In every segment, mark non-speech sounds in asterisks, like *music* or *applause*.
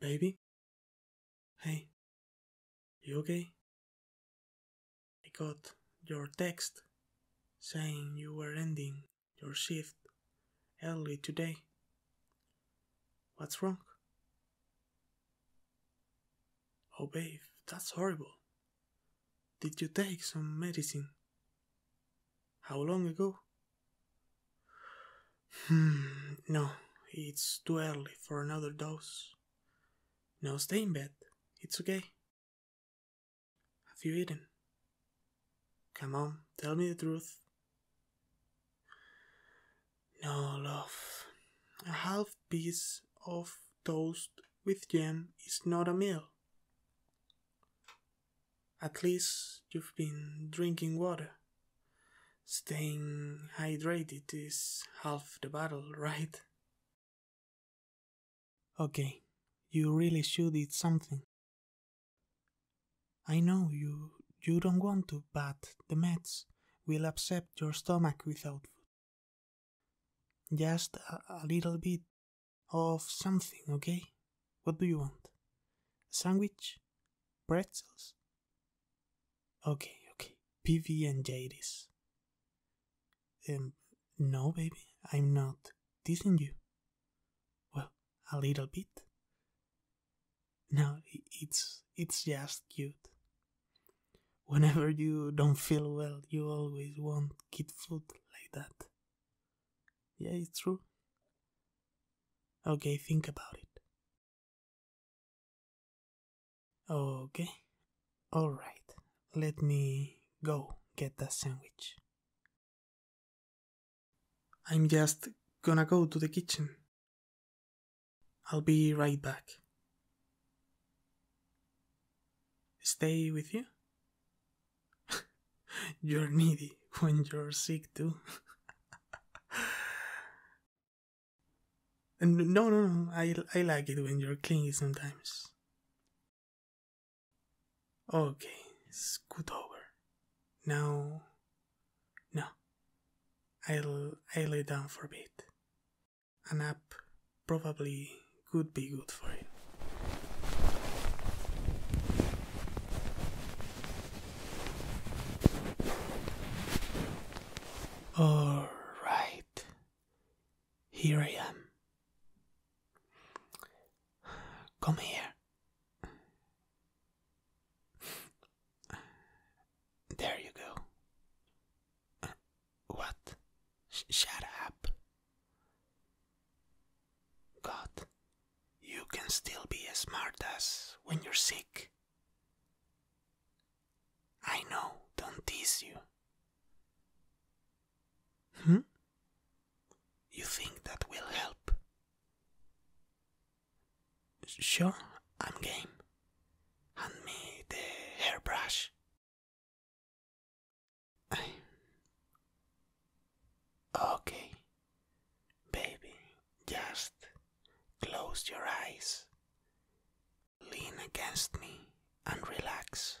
Baby? Hey, you okay? I got your text saying you were ending your shift early today. What's wrong? Oh, babe, that's horrible. Did you take some medicine how long ago? Hmm, no, it's too early for another dose. No, stay in bed, it's okay. Have you eaten? Come on, tell me the truth. No, love. A half piece of toast with jam is not a meal. At least you've been drinking water. Staying hydrated is half the battle, *laughs* right? Okay, you really should eat something. I know you you don't want to, but the meds will upset your stomach without food. Just a, little bit of something, okay? What do you want? A sandwich? Pretzels? Okay, okay. PV and Jadis. Um, no, baby, I'm not teasing you. Well, a little bit. No, it's it's just cute. Whenever you don't feel well, you always want kid food like that. Yeah, it's true. Okay, think about it. Okay, alright, let me go get that sandwich. I'm just gonna go to the kitchen. I'll be right back stay with you? *laughs* you're needy when you're sick too. *laughs* no, no, no. I I like it when you're clingy sometimes. Okay, scoot over. Now, no. I'll I lay down for a bit an app probably could be good for it. All right, here I am. Come here. There you go. What? Sh shut up. God, you can still be as smart as when you're sick. I know, don't tease you. Hmm? You think that will help? Sure, I'm game. Hand me the hairbrush. Okay, baby, just close your eyes, lean against me, and relax.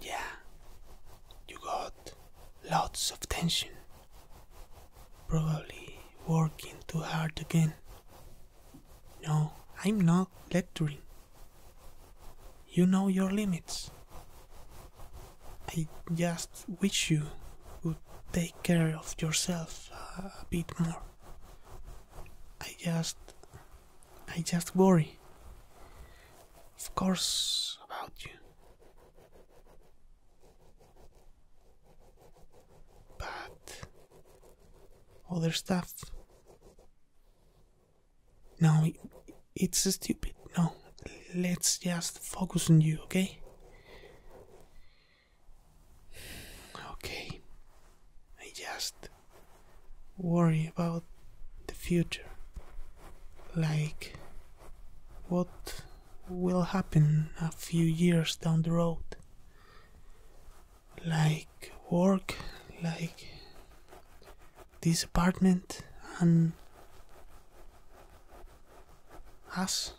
Yeah, you got lots of tension. Probably working too hard again. No, I'm not lecturing. You know your limits. I just wish you would take care of yourself a bit more. I just. I just worry. Of course, about you. But. Other stuff. No, it's stupid. No, let's just focus on you, okay? Okay, I just worry about the future. Like, what will happen a few years down the road? Like, work, like this apartment, and us.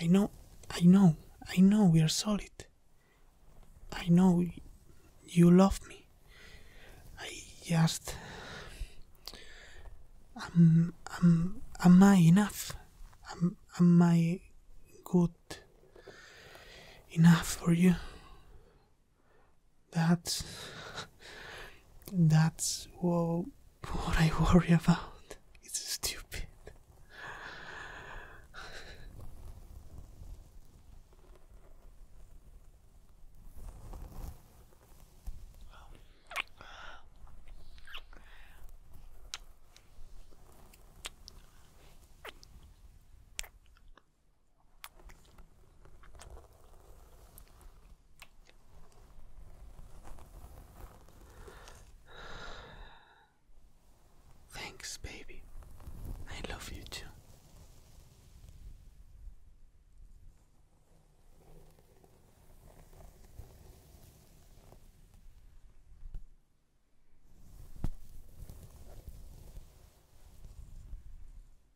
I know, I know, I know we are solid. I know you love me. I just. Am, am, am I enough? Am, am I good enough for you? That's that's what, what I worry about. It's stupid. Thanks, baby. I love you too.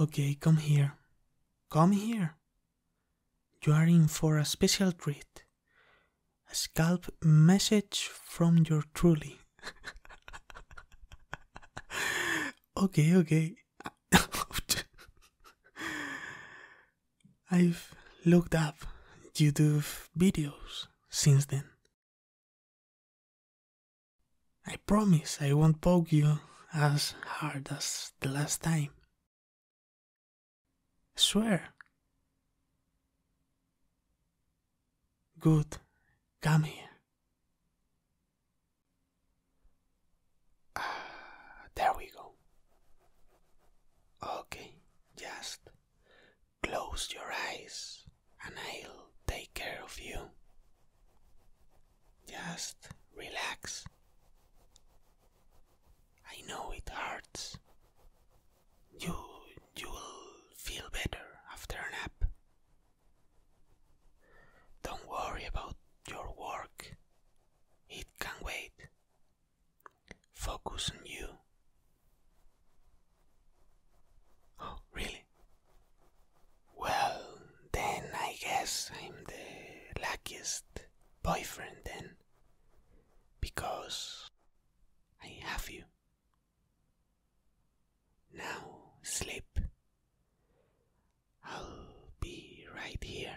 Okay, come here. Come here. You are in for a special treat. A scalp message from your truly. *laughs* okay, okay. *laughs* I've looked up YouTube videos since then. I promise I won't poke you as hard as the last time. Swear. Good, come here. Uh, *sighs* there we go. Okay, just close your eyes and I'll take care of you. Just relax. I know it hurts. You you'll feel better after a nap. Don't worry about your work. It can wait. Focus on you. Oh, *gasps* really? Well, then I guess I'm the luckiest boyfriend, then. Because I have you. Now sleep. I'll be right here.